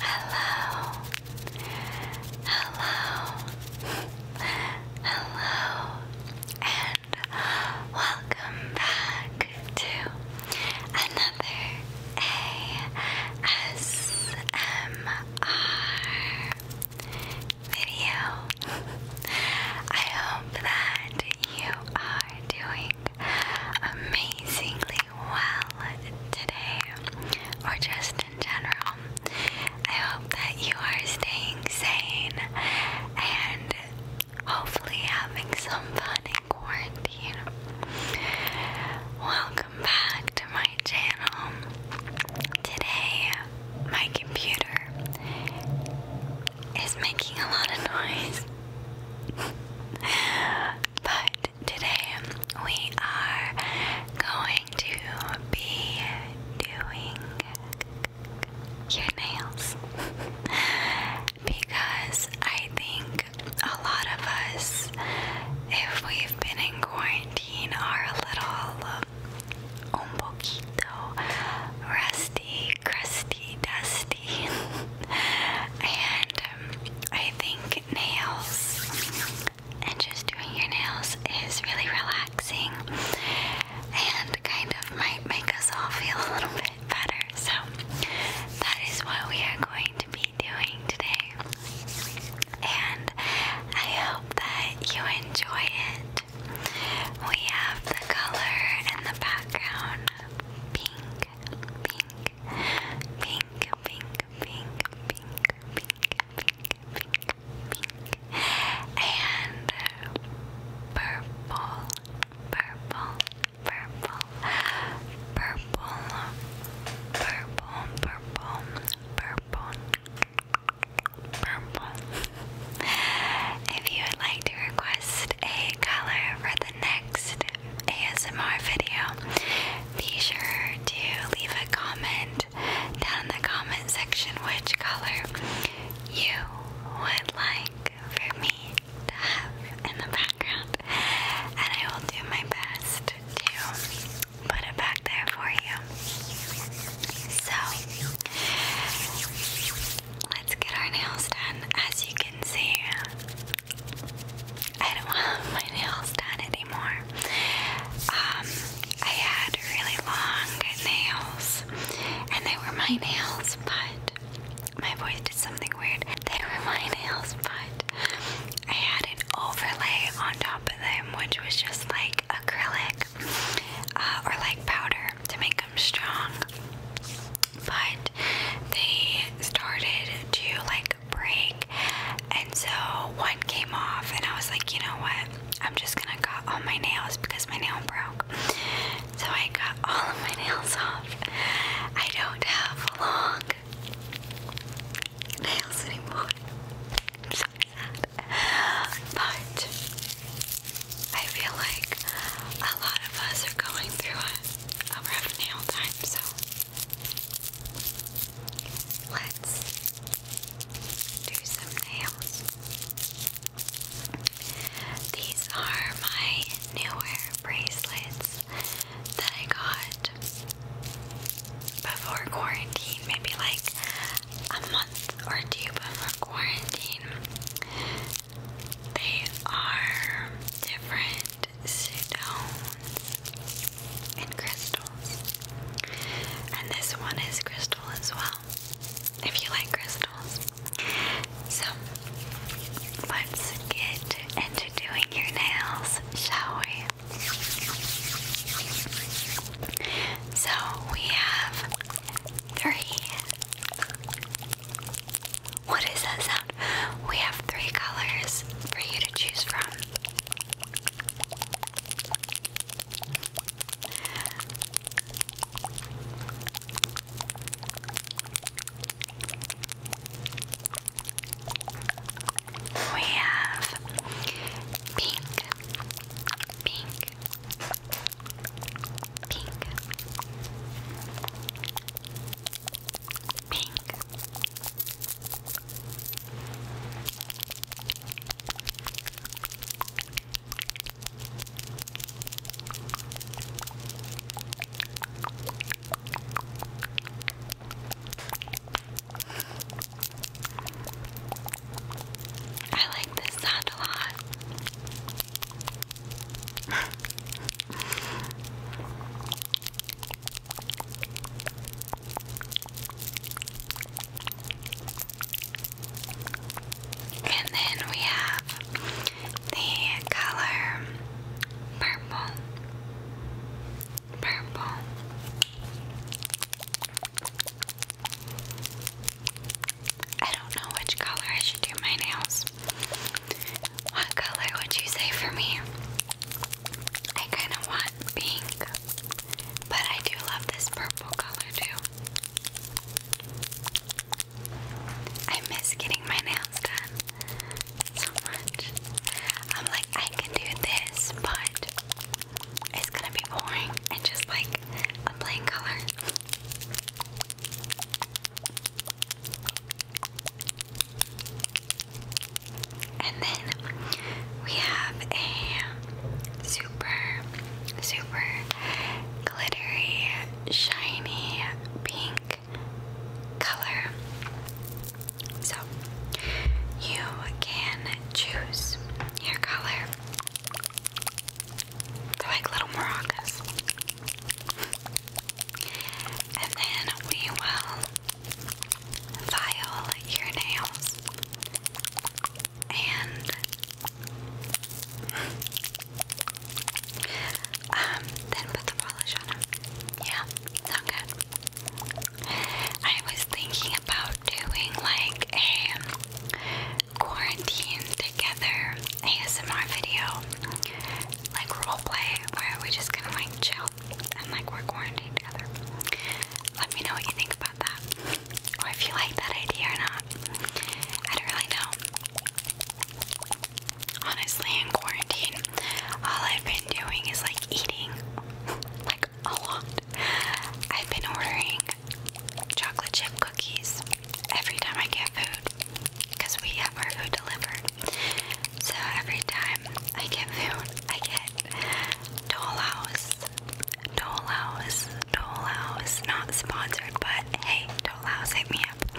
Hello. Hello. Hello. And welcome back to another ASMR video. I hope that you are doing amazingly well today, or just in general. I hope that you are staying sane and hopefully having some fun in quarantine. Welcome back to my channel. Today, my computer is making a lot of noise. but today we are going to be doing your nails because I think a lot of us, if we've been in quarantine, are a little un rusty, crusty, dusty, and I think nails and just doing your nails is really relaxing and kind of might make us all feel a little bit better. So, that is what we are going to be doing today. And I hope that you enjoy it. We have the color and the background pink, pink, pink, pink, pink, pink, pink, pink, pink, and purple, purple, purple, purple, purple, purple, purple, purple. If you would like to request a color for the next ASMR video, be sure to leave a comment down in the comment section which color you would like for me to have in the background, and I will do my best to put it back there for you. So, let's get our nails done. As you can see, I don't have my nails done anymore. Um, I had really long nails, and they were my nails, but my voice did something weird. They were my nails, but I had an overlay on top of them, which was just like acrylic uh, or like powder to make them strong. But they started to like break. And so one came off, and I was like, you know what? I'm just gonna cut all my nails because my nail broke. So I got all of my nails off. I don't have long nails anymore. But I feel like a lot of us are going through a rough nail time, so Let's do some nails. These are my newer bracelets that I got before quarantine, maybe like a month or two before quarantine. They are different stones and crystals. And this one is crystal as well, if you like crystals. So, let's get into doing your nails, shall we? So, we have three. What is that sound? We have three colors for you to choose from. We have pink, pink, pink, pink. I like this sound a lot. And then we have the color purple. Purple. I don't know which color I should do my nails. What color would you say for me? I kind of want pink, but I do love this purple color too. I miss getting my nails done so much. I'm like, I can do this, but it's gonna be boring and just like a plain color. And then we have a super, super glittery, shiny pink color. So you can choose your color. They're like little maracas. And then we will file your nails and um, then put the polish on Yeah, sound good. I was thinking about doing like a quarantine together ASMR video, like role play, where we're just gonna like chill and like we're quarantined together. Let me know what you think about that, if you like that idea or not. I don't really know. Honestly, in quarantine, all I've been doing is like eating, like a lot. I've been ordering chocolate chip cookies every time I get food because we have our food delivered. So every time I get food, I get Dole House. Dole House, Dole House, not sponsored, but hey, Dole House, hit me up.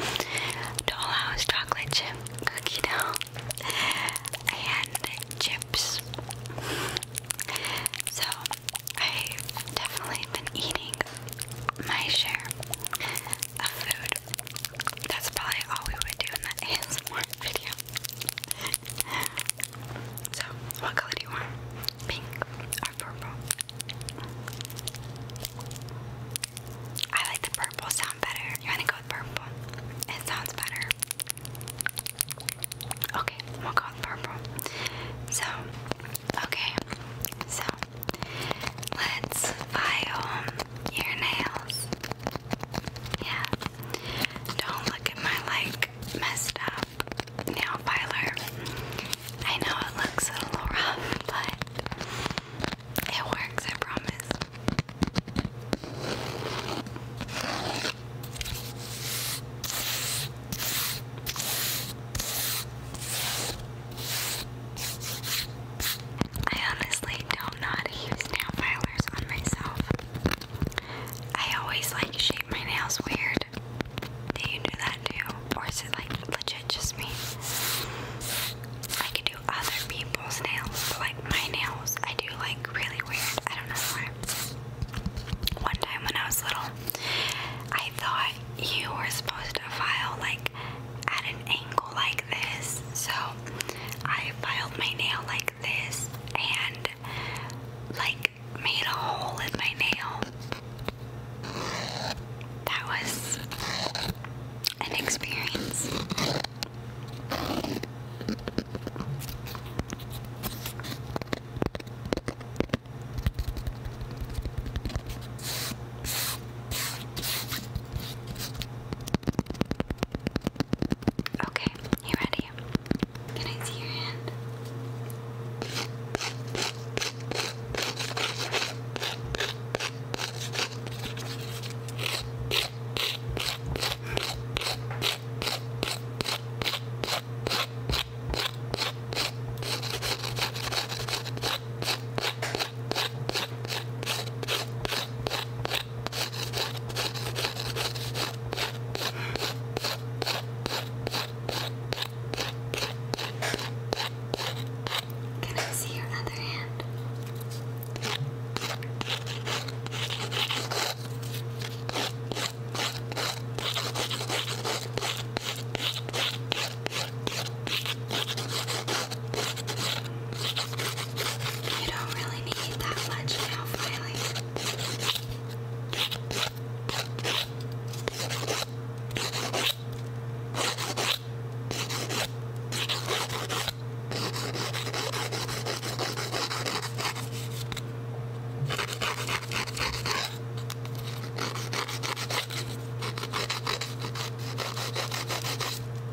Dole House chocolate chip cookie dough and chips. So I've definitely been eating my share of food that's probably all we would do in that ASMR video. so, what color do you want? Pink or purple? I like the purple sound better. You want to go with purple? It sounds better. Okay, we'll go with purple. So, okay, so let's file your nails. Yeah, don't look at my like messed up nail filer. I know it looks a little rough, but it works, I promise. I honestly don't will not use nail filers on myself. I always like shape my nails weird. Do you do that too? Or is it like legit just me? I could do other people's nails, like my nails, I do like really weird. I don't know why. One time when I was little, I thought you were supposed to file like at an angle like this. So I filed my nail like this and like made a hole in my nail. That was an experience. Okay, you ready? Can I see your hand? Can I see your other hand? You don't really need that much now, Finally.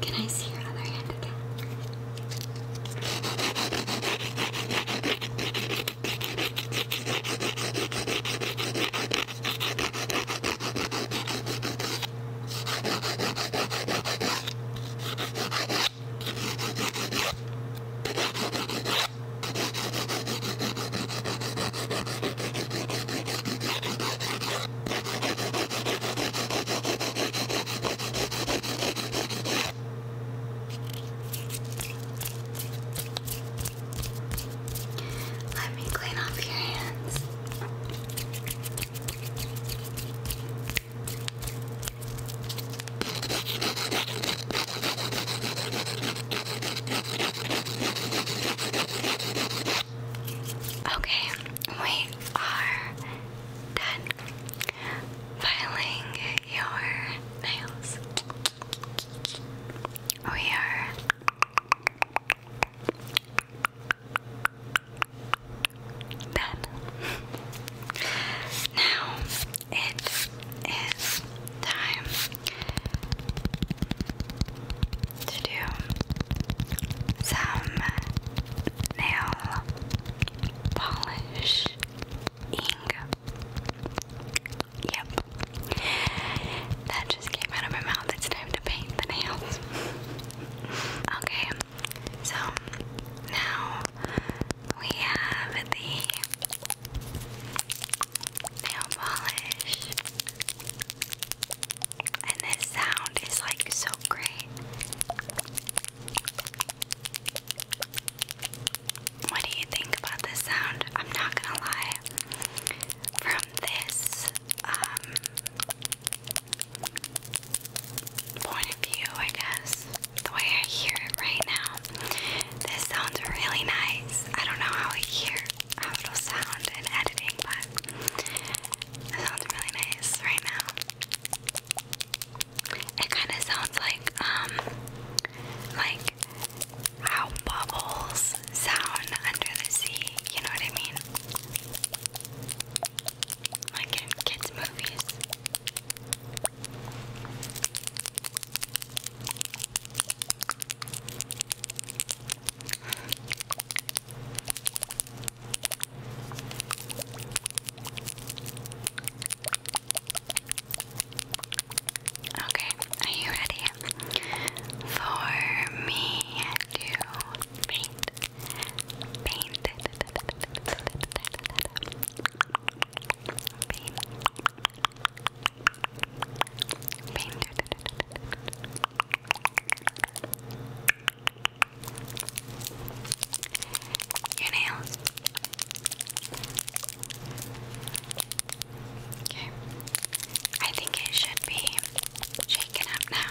Can I see your other hand again? Let me clean off your hands. Okay, we are done filing your nails. We are done. now it is time to do some nail polish Yep. That just came out of my mouth. It's time to paint the nails. okay, so now we have the nail polish. And this sound is like so great. What do you think about this sound? I'm not gonna lie. From this um, point of view, I guess, the way I hear it right now, this sounds really nice. I don't know how I hear how it sound in editing, but it sounds really nice right now. It kind of sounds like, um, like how bubbles sound under the sea, you know what I mean? Like in kids' movies. Okay, are you ready for me to paint? Paint. Paint. Paint. Your nails. Okay. I think it should be shaken up now.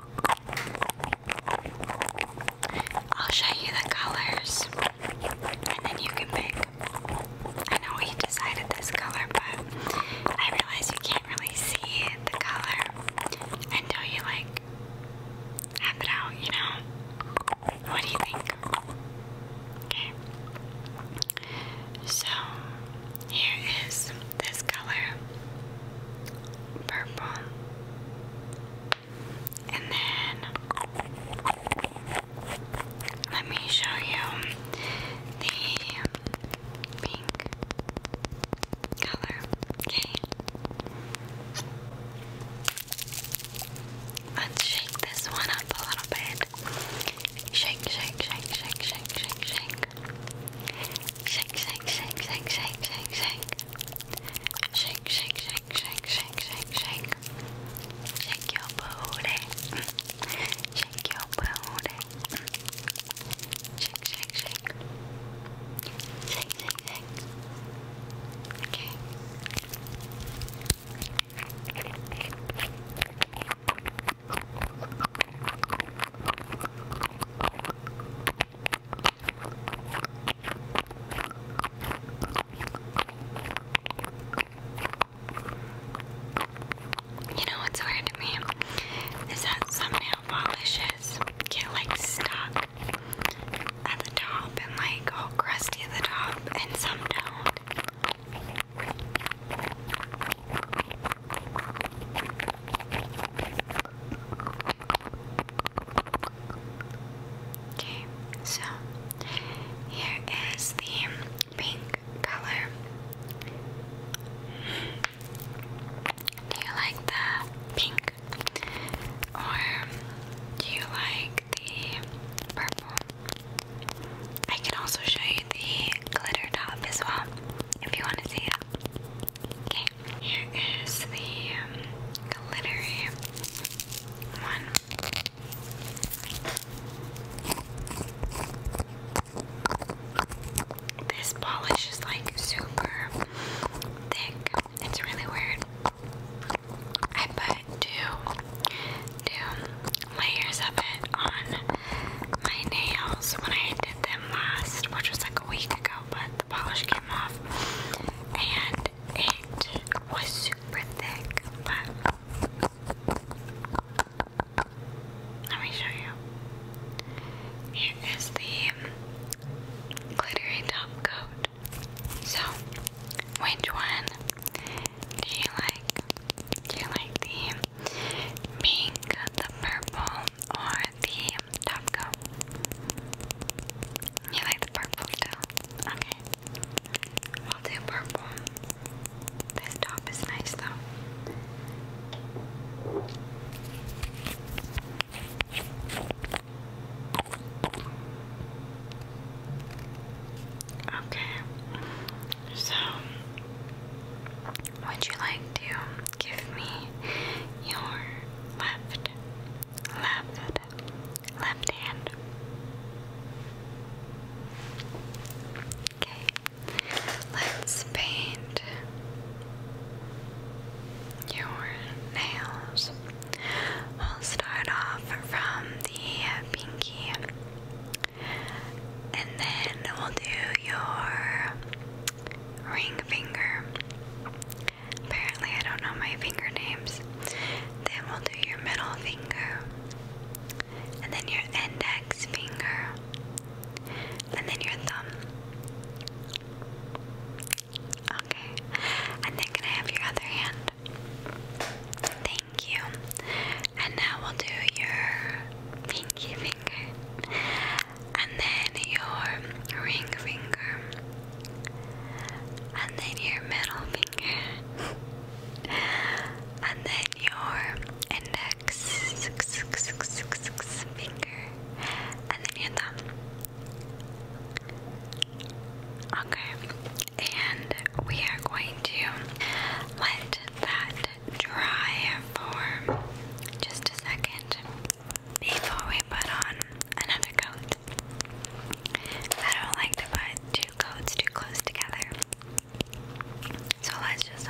I'll show you the colors and then you can pick. I know we decided this color, but I realize you can't really see the color until you like have it out, you know? What do you think? Okay. So, here is this color, purple, and then let me show you the pink color. Okay, let's shake this one up a little bit. Shake, shake, shake, shake, shake, shake, Shake, shake, shake, shake, shake, shake, shake. Shake, shake, shake, shake, shake, shake, shake. Shake your booty. Shake your booty. Shake, shake, shake. Shake, shake, shake. Okay. You know what's weird to me is that some nail polishes get like stuck at the top and like all crusty at the top, and some don't. Okay, so here is the pink color. Do you like the pink? Or do you like the purple? I can also show you the glitter top as well if you want to see it. Okay. Here is the um, glittery one. This polish is like super thick. It's really weird. I put two, two layers of it on my nails when I did them last, which was like a week ago, but the polish came and it was super thick. let me show you. Here is the glittery top coat. So, which one do you like? Do you like the pink, the purple, or the medium You like the purple still? Okay. I'll do purple. This top is nice though. Okay. So, would you like to Give me your left, left, left hand. Okay, let's paint your nails. We'll start off from the pinky and then we'll do your ring finger Apparently, I don't know my finger names. Then we'll do your middle finger, and then your index finger, and then your thumb. Okay, and then can I have your other hand? Thank you. And now we'll do your pinky finger and then your ring finger, and then your middle finger, and then your index finger, and then your thumb. Okay, and we are going to let that dry for just a second before we put on another coat. I don't like to put two coats too close together. So let's just.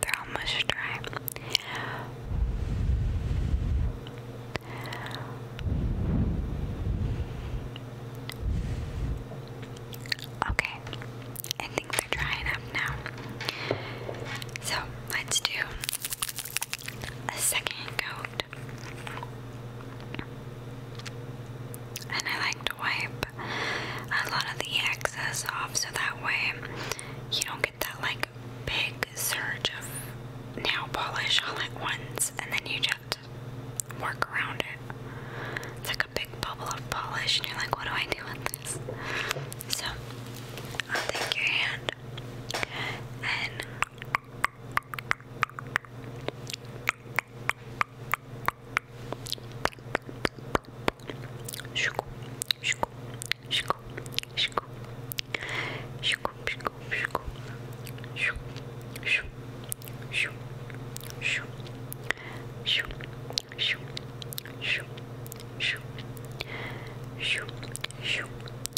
They're almost dry. Okay, I think they're drying up now. So let's do a second coat. And I like to wipe a lot of the excess off so that way you don't get that like big surge of nail polish all at once and then you just work around it. It's like a big bubble of polish and you're like, what do I do with this? So I'll take your hand good. And Shoo, shoo,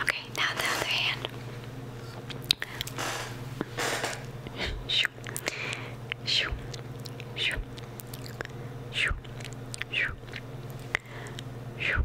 Okay, now the other hand. Shoo, shoo, shoo, shoo, shoo, shoo, shoo, shoo.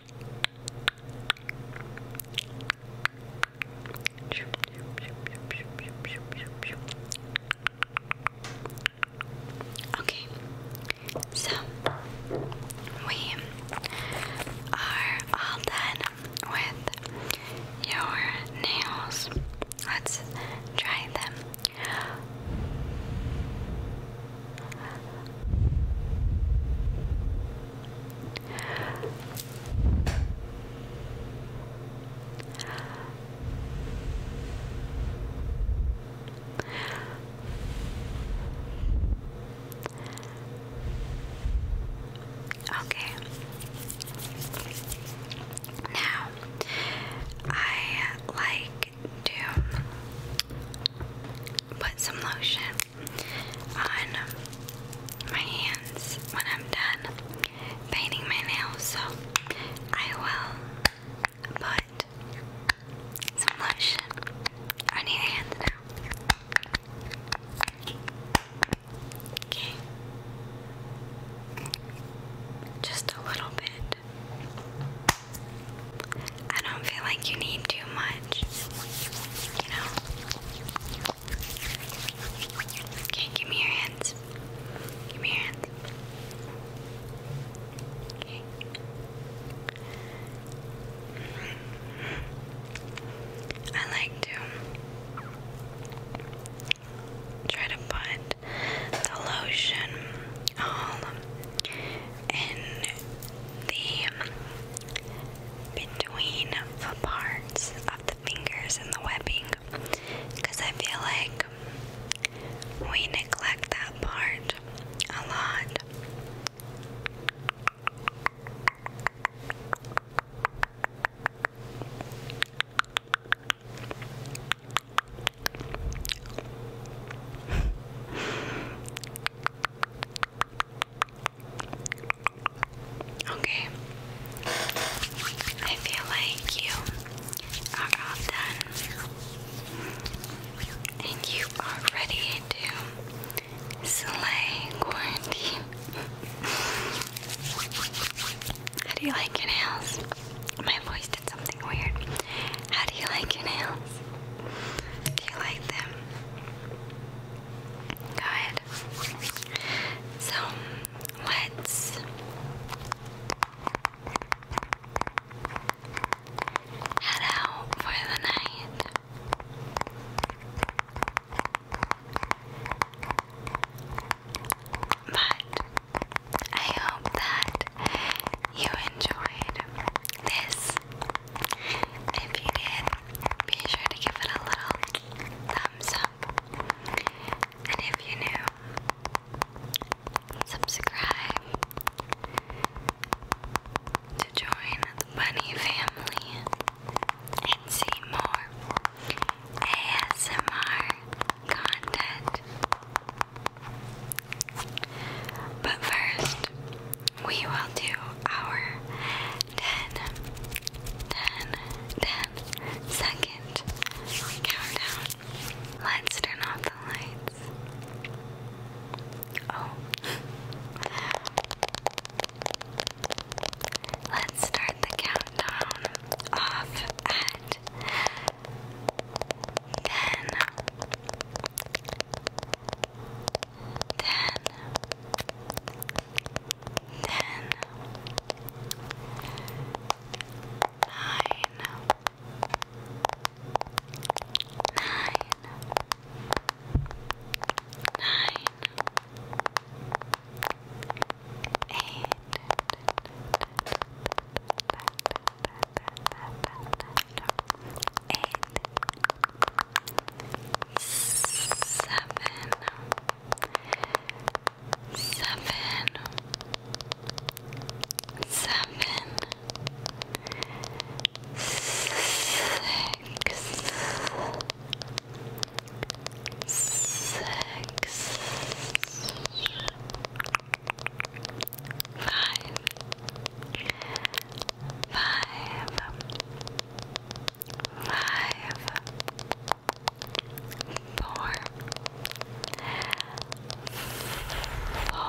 Okay, so we are all done with your nails. Let's try them. Okay. Now, I like to put some lotion on my hands when I'm done painting my nails. So I will put some lotion on your hands now. Okay. Just a little bit. I don't feel like you need too much. You know? Okay, give me your hands. Give me your hands. Okay. I like to try to put the lotion all um, in the between the parts of the fingers and the webbing because I feel like we neglect that part a lot. Okay. I feel like you are all done. And you are ready to slay quarantine. How do you like your nails? My voice did something weird. How do you like your nails? Do you like them? Good. So let's head out for the night. But I hope that you enjoyed this if you did, be sure to give it a little thumbs up. And if you're new, subscribe to join the bunny family and see more ASMR content. But first, we will do our 10, countdown. Let's turn off the lights. Oh. Let's start the countdown off at 10, ten, ten, nine, nine, nine, eight eight, seven, seven, seven, six, six, five five, five, four, four, four, four, four,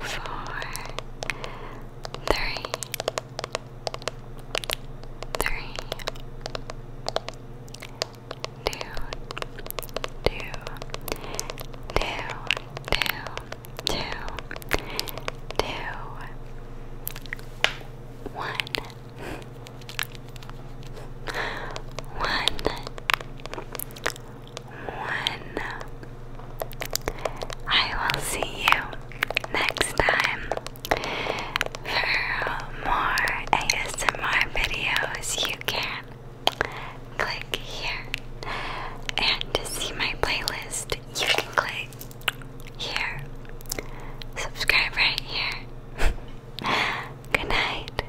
four, four, three, three, two, two, two, two, two, two, one, one, one. I will see you next time for more ASMR videos. You can click here, and see my playlist, you can click here. Subscribe right here. Good night.